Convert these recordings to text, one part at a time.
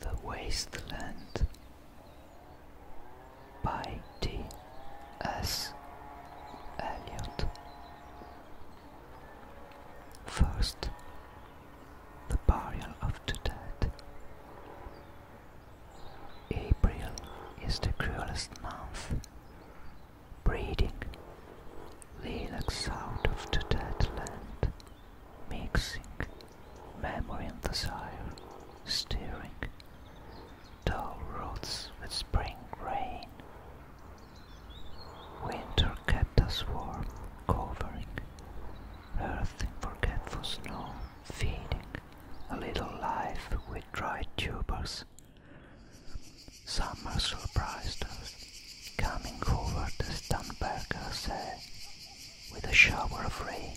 The Waste Land by D. S. Eliot. First, the burial of the dead. April is the cruelest month. Breeding lilacs out of the dead land, mixing memory and desire, stirring dull roots with spring rain. Winter kept us warm, covering earth forgetful snow, feeding a little life with dried tubers. Summer surprised us, coming over the Stamberger See with a shower of rain.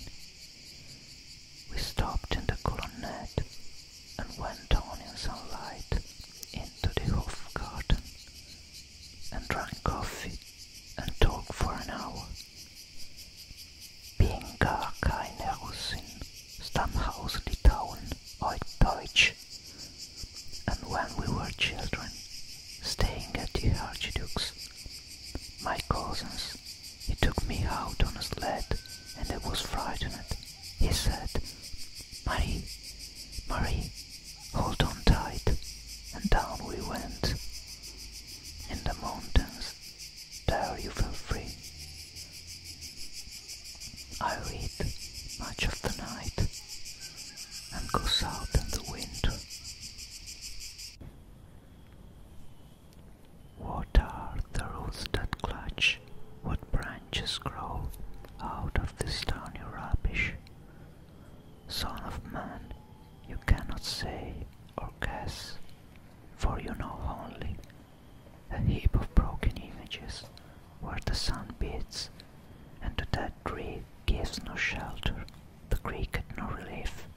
We stopped in the colonnade and went on in sunlight into the Hofgarten and drank coffee and talk for an hour. Being gar keine Russin, Stammhaus Litauen, Old Deutsch. And when we were children, staying at the Archduke's, my cousins, he took me out on a sled and I was frightened. He said, Marie, Marie, Hold on tight, and down we went. In the mountains, there you feel free. I read much of the night and goes out in the wind. What are the roots that clutch? What branches grow out of this tiny rubbish? Son of man, you cannot say or guess, for you know only a heap of broken images where the sun beats, and to that tree gives no shelter, the cricket no relief,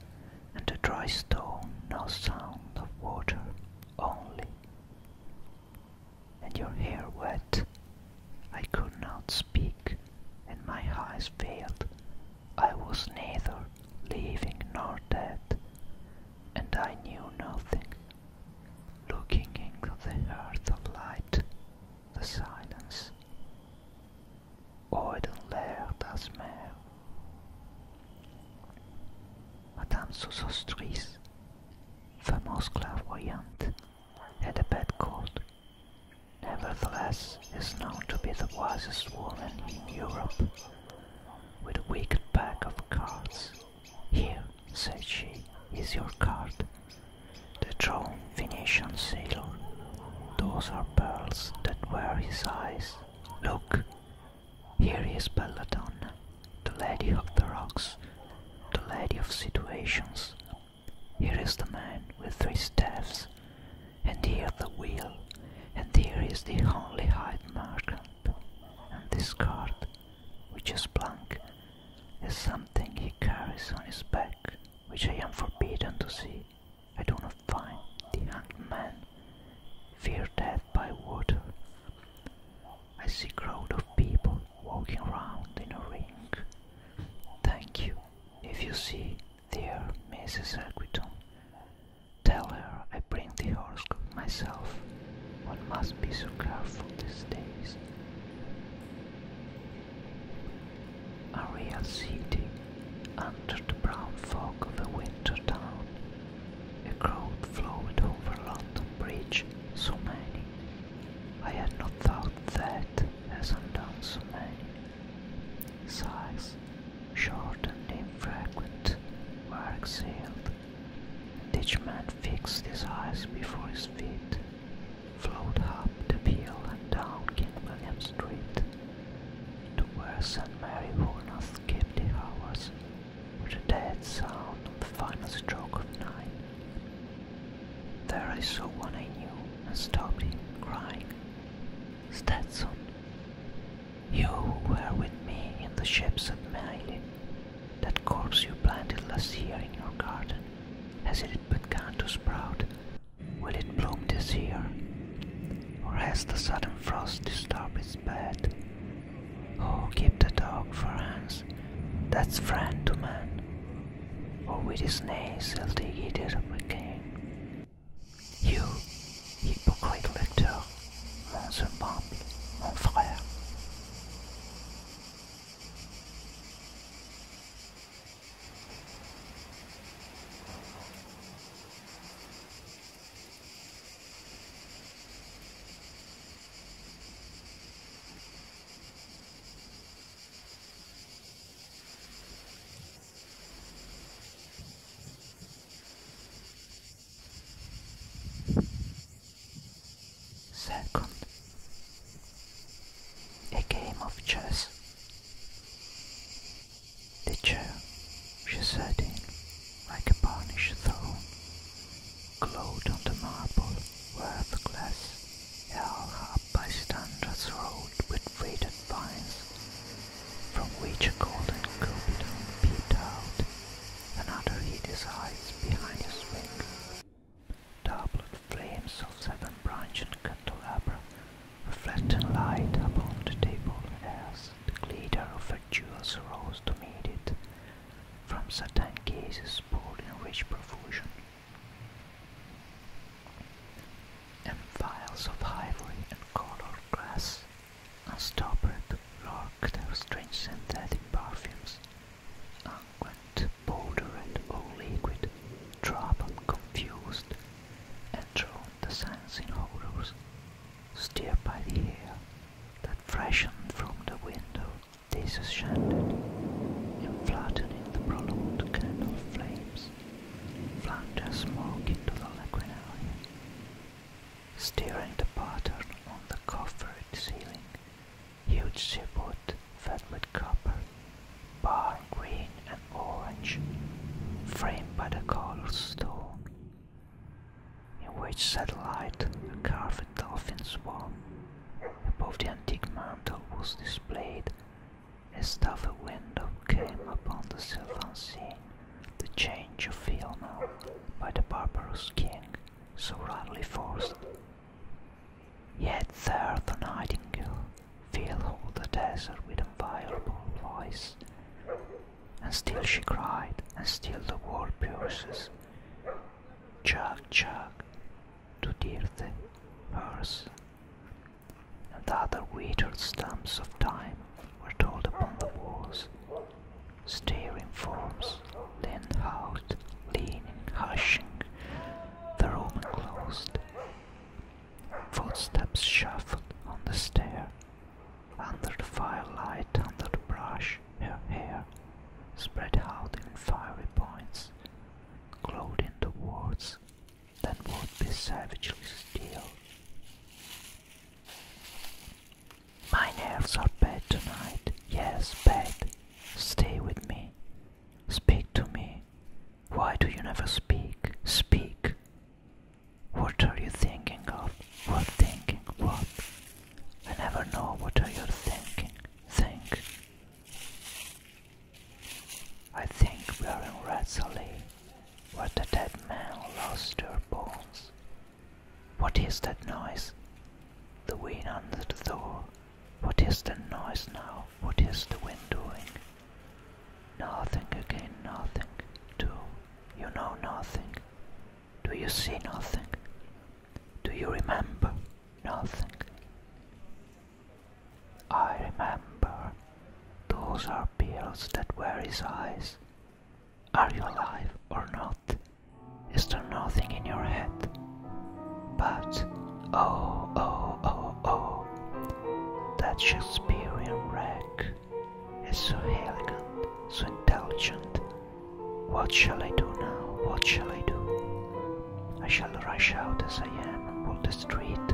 and the dry stone no sound of water only. And your hair wet I could not speak, and my eyes failed. I was neither living nor dead, and I knew nothing. Looking into the earth of light, the silence. Oiden leer das Meer. Madame sous famous fameuse clairvoyante, had a bad cold nevertheless is known to be the wisest woman in Europe. With a wicked pack of cards. Here, said she, is your card. The drawn Venetian sailor. Those are pearls that were his eyes. Look, here is Belladonna, the lady of the rocks, the lady of situations, here is the man with three staffs, and here the wheel, and here is the holy hide markup. And this card, which is blank, is something he carries on his back, which I am forbidden to see. I do not find the hanged man fear death by water. I see crowd of people walking round in a ring. Thank you. If you see dear Mrs. Aquitaine, tell her I bring the horoscope myself. One must be so careful these days. A real city under the brown fog of a winter town. A crowd flowed over London Bridge, so many. I had not thought that as undone so many. Sighs, short and infrequent, were exhaled. Each man fixed his eyes before his feet, flowed up the hill and down King William Street to where St. Mary Warnoth kept the hours, with a dead sound on the final stroke of nine. There I saw one I knew and stopped him, crying, Stetson, you who were with me in the ships at Meili, that corpse you planted last year in your garden, has it begun to sprout? Will it bloom this year? Or has the sudden frost disturbed its bed? Oh, keep the dog for hands, that's friend to man or with his nails he'll dig it out of my game. You, hypocrite lecteur, monsieur semblable, mon frère. Second, a game of chess. The chair she sat in, like a burnished throne, glowed on the marble worthless held up by Standard's Road with faded vines, from which a golden cupidon peeped out, another hid his eyes behind his wing. Doublet flames of seven branching candelabra, reflecting light upon the table as the glitter of her jewels rose to meet it, from satin cases poured in rich profusion. In files of ivory and colored glass, unstoppered lurk their strange synthetic perfumes, unguent, powder and all liquid, troubled, confused, and enthralled the sense in odors, stirred by the air that freshened from the window, disenchanted, and flattened in the prolonged candle flames flanked her smoke into the lagunaria, steering the pattern on the coffered ceiling. Huge seaweed fed with copper, bar green and orange, framed by the colored stone, in which satellite a carved dolphin swam. Above the antique mantle was displayed a stuffy window came upon the sylvan scene, the change of now by the barbarous king, so rudely forced. Yet there the nightingale filled the desert with a inviolable voice, and still she cried, and still the world pierces. Chug, chug, to dear the hearse, and the other weeded stumps of time were told upon the walls. Staring forms, leaned out, leaning, hushing, the room closed. Footsteps shuffled on the stair, under the firelight, under the brush, her hair spread out in fiery points, glowed in the walls than would be savagely still. My nerves are bad tonight, yes, bad. Stay with me. Speak to me. Why do you never speak? Speak. What are you thinking of? What thinking? What? I never know what are you thinking. Think. I think we are in Razzali, where the dead men lost their bones. What is that noise? The wind under the door. What is the noise now? What is the wind doing? Nothing again, nothing. Do you know nothing? Do you see nothing? Do you remember nothing? I remember. Those are pills that were his eyes. Are you alive or not? Is there nothing in your head? But, oh, oh, oh, oh, that Shakespearean wreck is so elegant, so intelligent. What shall I do now? What shall I do? I shall rush out as I am and walk the street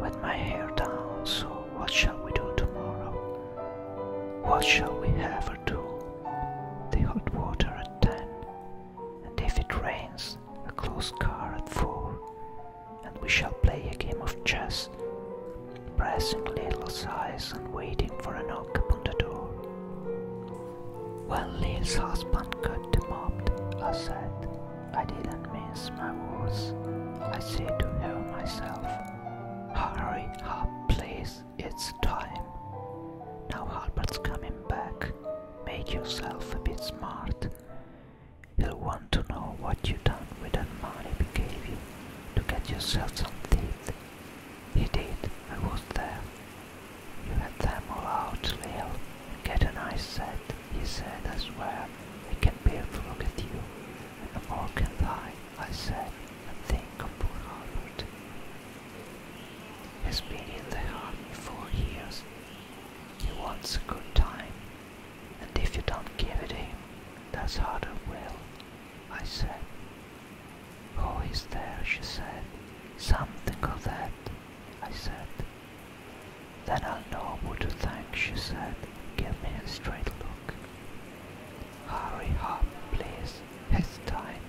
with my hair down. So, what shall we do tomorrow? What shall we have or do? The hot water at ten, and if it rains, a close car at four, and we shall play a game of chess, pressing little sighs and waiting for a knock upon the door. When Lil's husband got the mob, I said. I didn't mince my words. I said to her myself, Hurry up, please, it's time. Now Harpert's coming back. Make yourself a bit smart. He'll want to know what you done with the money we gave you to get yourself some teeth. He did, I was there. You Let them all out, Lil. Get a nice set, he said, as well. It can be if look at you. And more can I, I said, and think of poor Harvard. He's been in the army four years. He wants a good time. And if you don't give it him, that's harder will, I said. "Who oh, is there, she said. Something of that, I said. Then I'll know who to thank, she said, "Give me a straight look. Hurry up, please. It's time.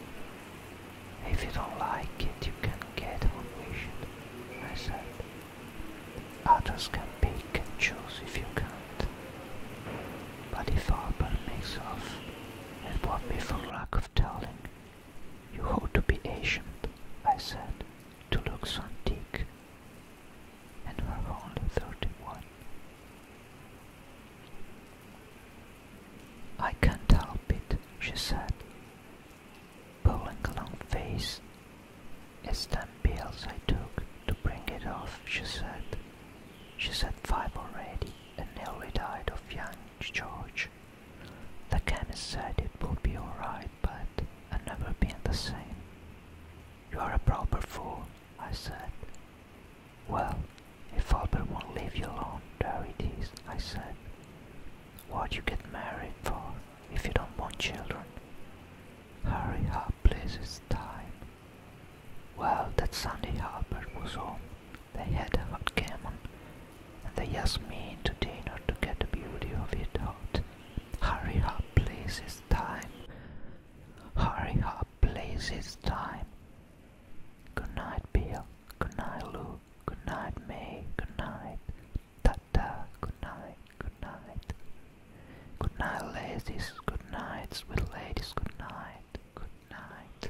If you don't like it, you can get what we should, I said. Others can pick and choose if you can't. But if Arbor makes off, it won't be for lack of telling. You ought to be ancient," I said, to look so antique. And we're only thirty-one. I can't help it, she said, pulling a long face. It's ten pills I took to bring it off, she said. She's had five already and nearly died of young George. The chemist said it would be alright but I've never been the same. You are a proper fool, I said. Well, if Albert won't leave you alone, there it is, I said. What you get married for if you don't want children? Hurry up, please, it's time. Well, that Sunday Albert was home. They had a hot game on and they asked me to dinner to get the beauty of it out. Hurry up, please, it's time. Hurry up, please, it's time. Good night, Bill. Good night, Lou. Good night, May. Good night. Ta-ta. Good night. Good night. Good night, ladies. Good night, sweet ladies. Good night. Good night.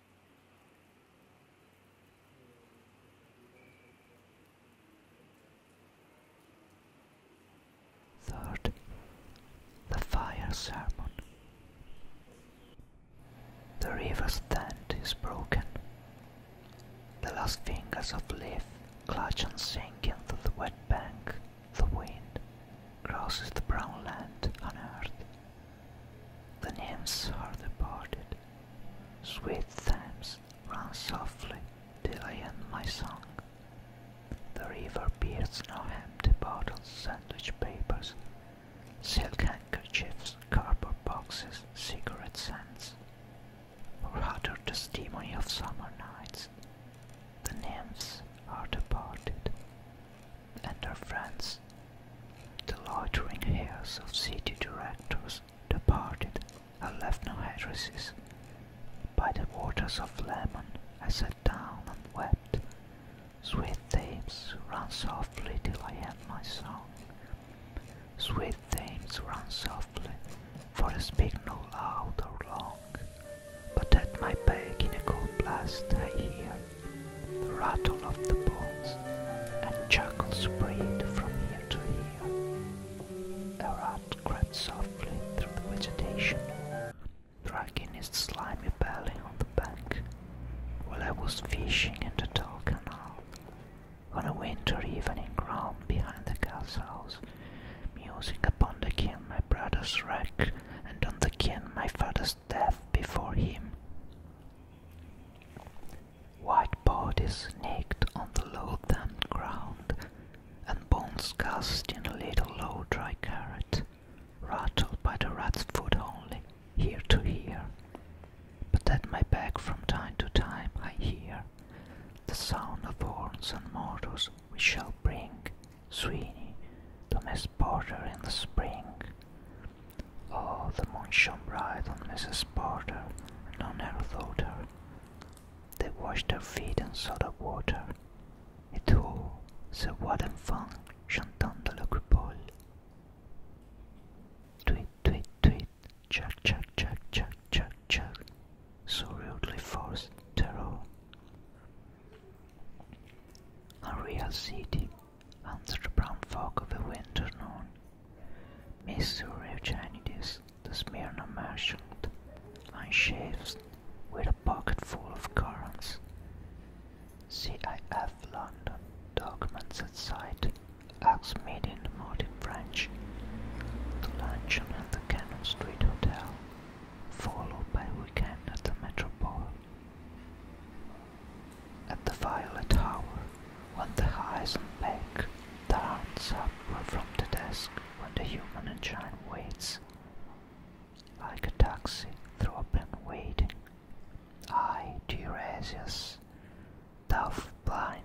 Third, the fire sermon. The river's tent is broken. The last fingers of leaf clutch and sink into the wet bank. The wind crosses the brown land on earth the nymphs are departed. Sweet Thames, run softly till I end my song. The river bears no empty bottles, sandwich papers, silk handkerchiefs, cardboard boxes, cigarette ends, or other testimony of summer nights. The nymphs are departed and her friends. The loitering heirs of city directors departed and left no addresses. By the waters of Lemon I sat down and wept. Sweet Thames, run softly till I end my song. Sweet Thames, run softly, for I speak no loud or long. But at my back in a cold blast I hear the rattle of the bones, and chuckles spread from ear to ear. A rat crept softly through the vegetation, dragging its slimy belly on the bank. While I was fishing in the dark canal, on a winter evening ground behind the gas house, musing upon the kin my brother's wreck and on the kin my father's death before him. White bodies naked on the low-damp ground, and bones cast in a little low dry carrot, rattled by the rat's foot only, here to here. But at my back from time to time I hear the sound of horns and mortars we shall bring, Sweeney, to Miss Porter in the spring. Oh, the moon shone bright on Mrs. Porter, and on her daughter. They washed their feet in soda water. Et tout se voit d'enfant chantando le coupole. Tweet, tweet, tweet, chuck, chuck, chuck, chuck, chuck, chuck, so rudely forced to roam A real city under the brown fog of a winter noon. Mr. Eugenides, the Smyrna merchant, unshaves with a pocket full of coins. CIF London, documents at sight, acts made in the modern French. The luncheon at the Cannon Street Hotel, followed by a weekend at the Metropole. At the Violet Tower, when the eyes on Beck, the hands up were from the desk when the human engine waits. Like a taxi through a pen waiting. I, Tiresias, tough blind,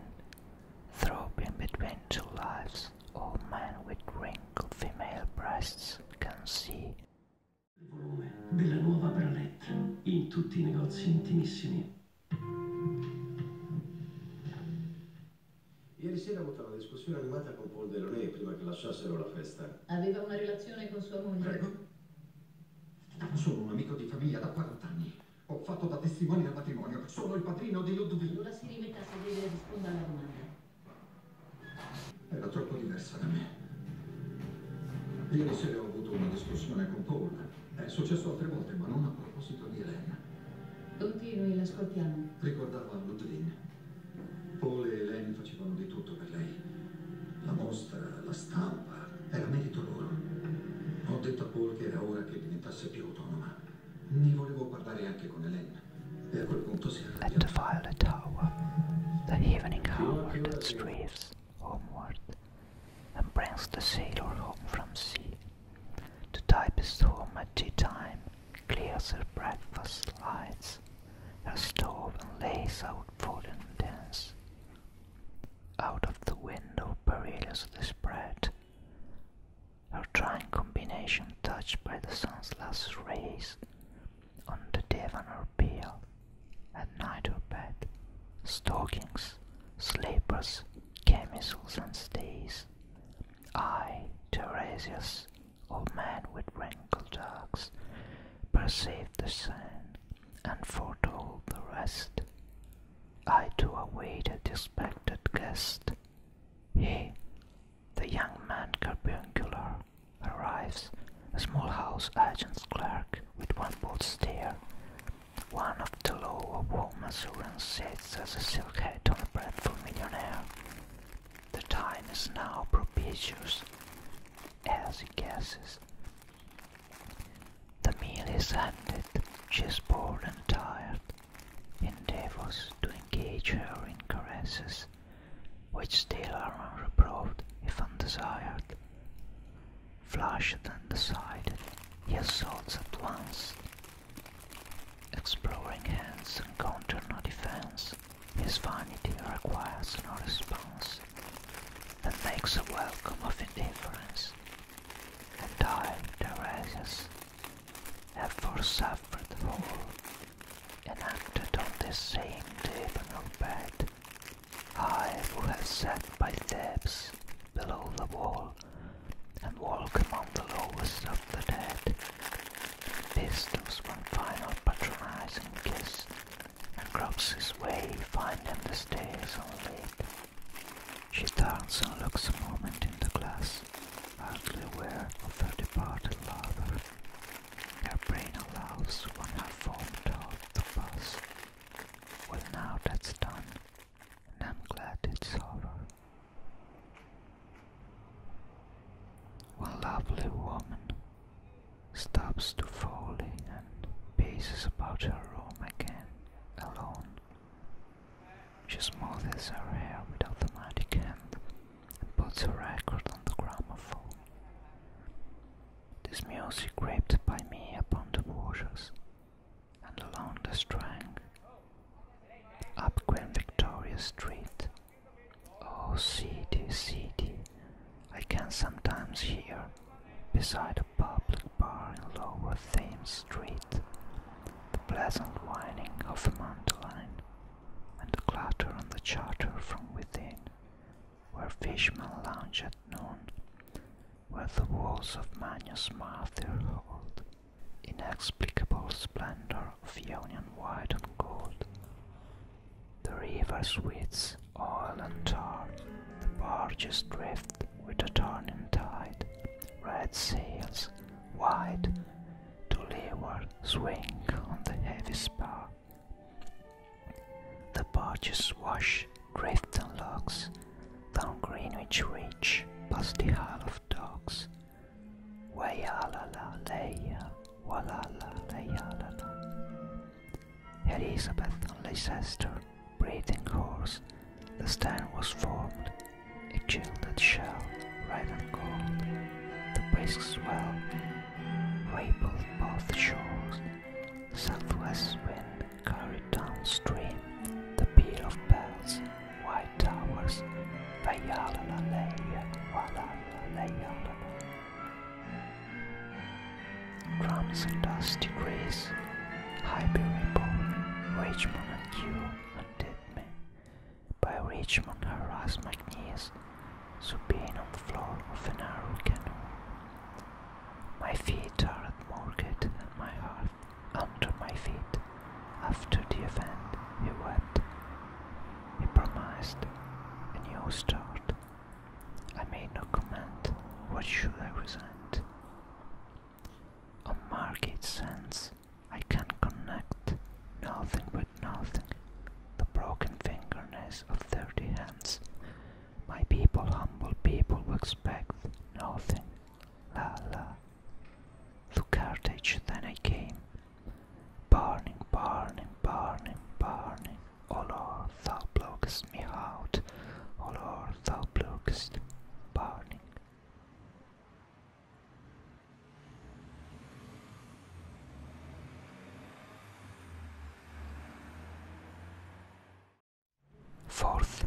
throbbing between two lives, all men with wrinkled female breasts can see Il volume della nuova Bralette in tutti i negozi intimissimi. Ieri sera ho avuto una discussione animata con Paul Deloney prima che lasciassero la festa. Aveva una relazione con sua moglie? Prego. Sono un amico di famiglia da 40 anni. Ho fatto da testimone al matrimonio. Sono il padrino di Ludwig. Allora si rimetta a sedere e risponda alla domanda. Era troppo diversa da me. Ieri sera ho avuto una discussione con Paul. È successo altre volte, ma non a proposito di Elena. Continui, l'ascoltiamo. Ricordava Ludwin. Paul e Elena facevano di tutto per lei. La mostra, la stampa, era merito loro. Ho detto a Paul che era ora che diventasse più autonoma. Ne volevo parlare anche con Elena. E a quel punto si arrabbiò. At the Violet Tower, the evening hour that streams. homeward and brings the sailor home from sea. The type is home at tea time, clears her breakfast lights, her stove and lays out food the dance. Out of the window the spread, her trying combination touched by the sun's last rays, on the divan or pillow, at night or bed, stockings, slippers, camisoles and stays. I, Tiresias, old man with wrinkled locks, perceived the sign and foretold the rest. I to await a respected guest. He, the young man carbuncular, arrives a small house agent's clerk with one bold stare. One of the low of home assurance sits as a silk hat on a breadful millionaire. The time is now propitious, as he guesses. The meal is ended, she is bored and tired, endeavors to engage her in caresses, which still are unreproved if undesired. Flushed and decided, he assaults at once. Exploring hands encounter no defense. His vanity requires no response. That makes a welcome of indifference. And I, ever have forsuffered whole, enacted on this same divinal bed, I who have sat by Thebes below the wall, and walk among the lowest of the dead, This bestows one final patronizing kiss, and gropes his way, finding the stairs unlit. She turns and looks a moment in the glass, hardly aware of her departed lover. Her brain allows one half formed thought to pass. Well, now that's done, and I'm glad it's over. One lovely woman stops to Foley and paces about her room again, alone. She smooths her hair with automatic hand and puts her record on the gramophone. This music crept by me upon the waters, and along the strand, up Queen Victoria Street. Oh, city, city, I can sometimes hear, beside a public bar in Lower Thames Street, the pleasant whining of a mandolin, and the clatter on the charter from within, where fishermen lounge at noon, where the walls of Manius Martyr hold inexplicable splendor of Ionian white and gold. The river widths, oil and tar, the barges drift with the turning tide, red sails, wide, to leeward swing on the heavy spar. The barges wash Grafton locks, down Greenwich Reach, past the Isle of Dogs. la la la, la la la la la la. Elizabeth and Leicester, breathing horse, the stand was formed, a gilded shell, red and gold, the brisk swell, rippled both shores, Southwest wind carried downstream the peal of bells, white towers, Drums and dusty grace, Hyperipole, Richmond and Q undid me. By Richmond harassed my knees, so being on the floor of a narrow canoe. My feet are at market and my heart under my feet. After the event, he wept. He promised a new start. I made no comment. What should I resent? A market sense, I can connect nothing with nothing. The broken fingernails of thirty hands my people, humble people, will expect nothing. La la. To Carthage then I came, burning, burning, burning, burning. Oh Lord, thou blockest me out. Oh Lord, thou blockest, burning. Fourth,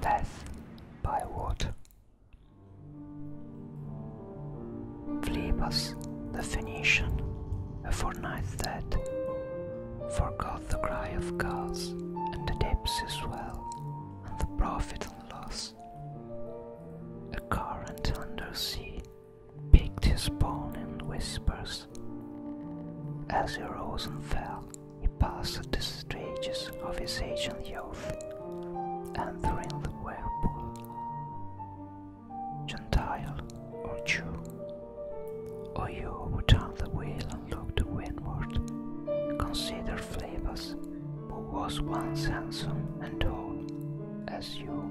death by water. Phlebas the Phoenician, a fortnight dead, forgot the cry of gods and the depths as well, and the profit and loss. A current under sea picked his bone in whispers. As he rose and fell, he passed the stages of his ancient youth and thrilled the web. Gentile or Jew, or you who turned the wheel and look to windward, consider Flavus, who was once handsome and tall as you.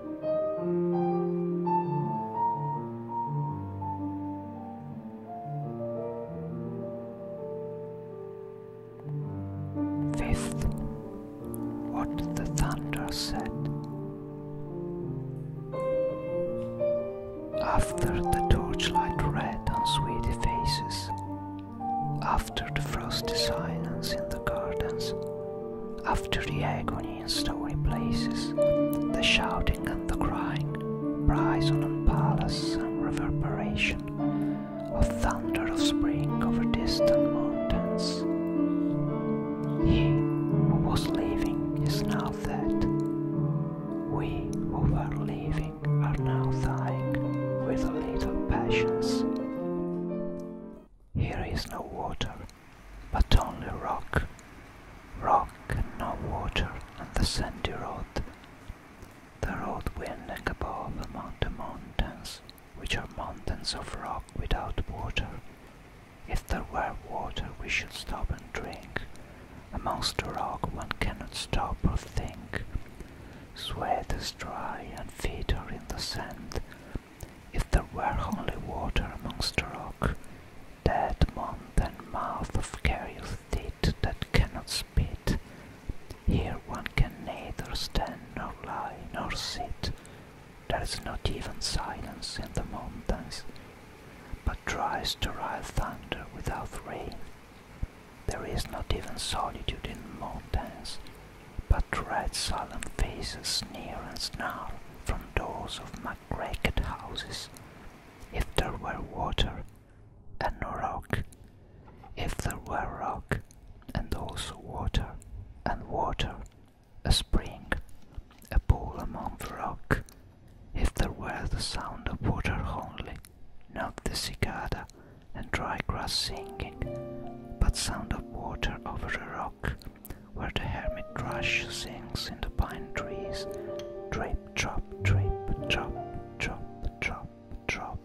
Fifth, what the thunder said. After the torchlight red on sweet faces, after the frosty silence in the gardens, after the agony in story places, the shouting and the crying, bryson and palace and reverberation, of thunder of spring over distant mountains. He who was living is now dead. We who were living are now dying with little passions. Here is no water, but only rock. Rock and no water, and the sandy road. The road winding above among the mountains, which are mountains of rock without water. If there were water, we should stop and drink. Amongst the rock, one cannot stop or think. Sweat is dry, and feet are in the sand. If there were only water amongst the rock, that mouth and mouth of curious teeth that cannot spit, here one can neither stand nor lie nor sit. There is not even silence in the mountains, but tries to sterile thunder without rain. There is not even solitude in the mountains, but red solemn faces sneer and snarl from doors of ragged houses. If there were water and no rock, if there were rock and also water and water, a spring, a pool among the rock, if there were the sound of water only, not the cicada and dry grass singing, but sound of water over the rock where the hermit thrush sings in the pine trees. Drip, drop, drip, drop, drop, drop, drop.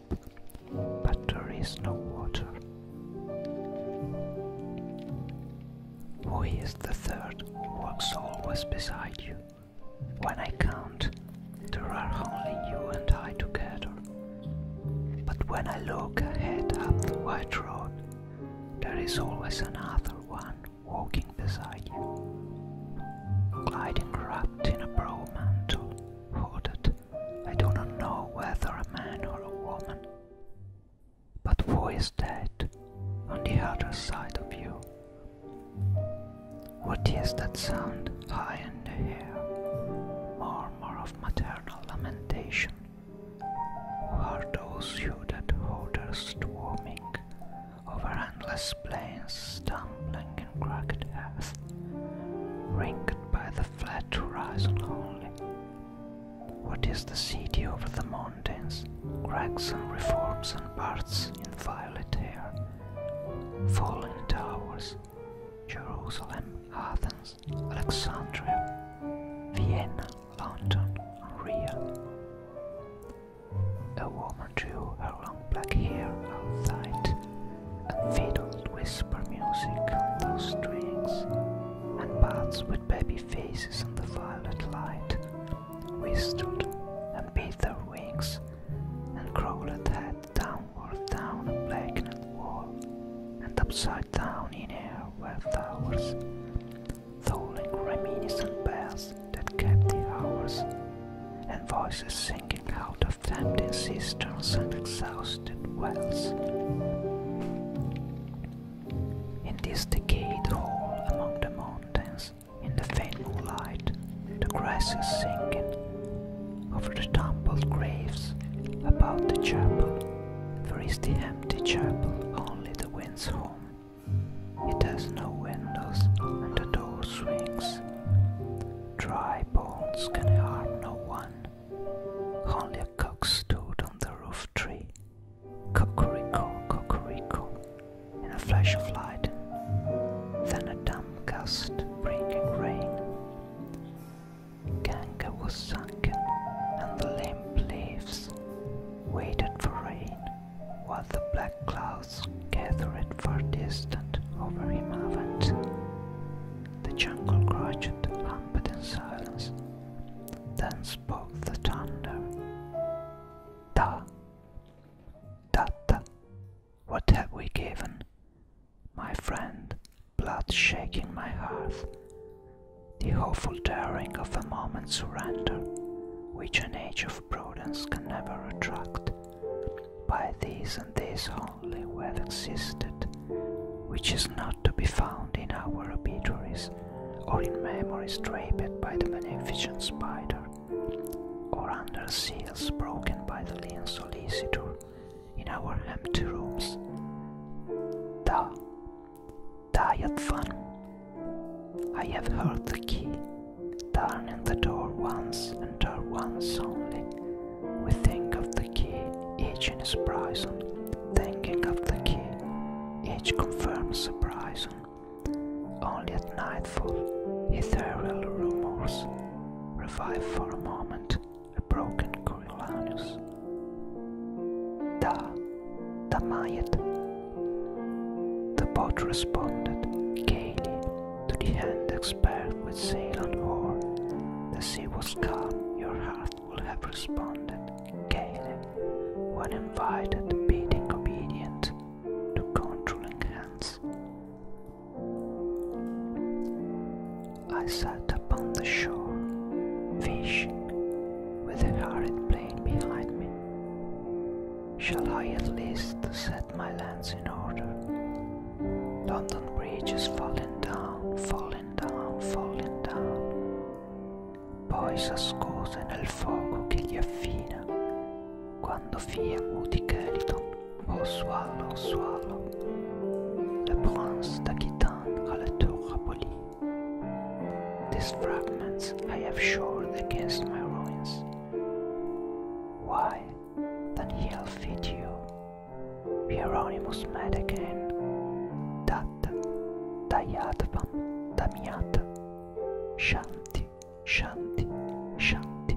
But there is no water. Who is the third who walks always beside you? When I count, there are only you and I together. But when I look ahead up the white road, there is always another one walking beside you. Gliding wrapped in a brow mantle, hooded, I do not know whether a man or a woman. But who is that on the other side of you? What is that sound high in the air? Murmur of maternal lamentation. Or those you that holders swarming over endless plains, stumbling in cracked earth, ringed by the flat horizon only. What is the city over the mountains, cracks and reforms and parts in violet air? Fallen towers, Jerusalem, Athens, Alexandria, Vienna, lantern unreal. A woman drew her long black hair outside and fiddled whisper music on those strings, and bats with baby faces in the violet light whistled and beat their wings and crawled head downward down a blackened wall and upside down in air were flowers tolling reminiscent bells that kept the hours, and voices singing out of tempting cisterns and exhausted wells. In this decayed hall among the mountains, in the faint moonlight, the grass is sinking over the tumbled graves about the chapel. There is the empty chapel, only the wind. It has no windows and the door swings. Dry bones can harm no one. Only a cock stood on the roof tree. Cocorico, cocorico, in a flash of light. Then a damp gust bringing rain. Ganga was sunken and the limp leaves waited for rain, while the black clouds gathered far distant over him The jungle crouched, humped in silence. Then spoke the thunder. Da. Tata, what have we given? My friend, blood shaking my heart, the hopeful daring of a moment's surrender, which an age of prudence can never attract. By these and these only we have existed, which is not to be found in our obituaries, or in memories draped by the beneficent spider, or under seals broken by the lean solicitor in our empty rooms. The Diet fun. I have heard the key turning the door once and door once only. We think of the key, each in his prison. Thinking of the key, each confirms a prison. Only at nightfall, ethereal rumors revive for a moment a broken Coriolanus. Da, Damayet. The boat responded gaily to the hand expert with sail on oar. The sea was calm, your heart would have responded gaily when invited, beating obedient to controlling hands. I sat upon the shore, fishing with an arid blade. laid behind me. Shall I at least set my lands in order? London Bridge is falling down, falling down, falling down. Poi s'ascose nel fuoco che gli affina, quando fia muti Kelton, o oh swallow, swallow. Le prince d'Aquitaine alla tour abolie. These fragments I have shored against my ruins. Why, that he'll feed you. Hieronymus mad again. Dat, dayatvam, damiat. Shanti, shanti, shanti.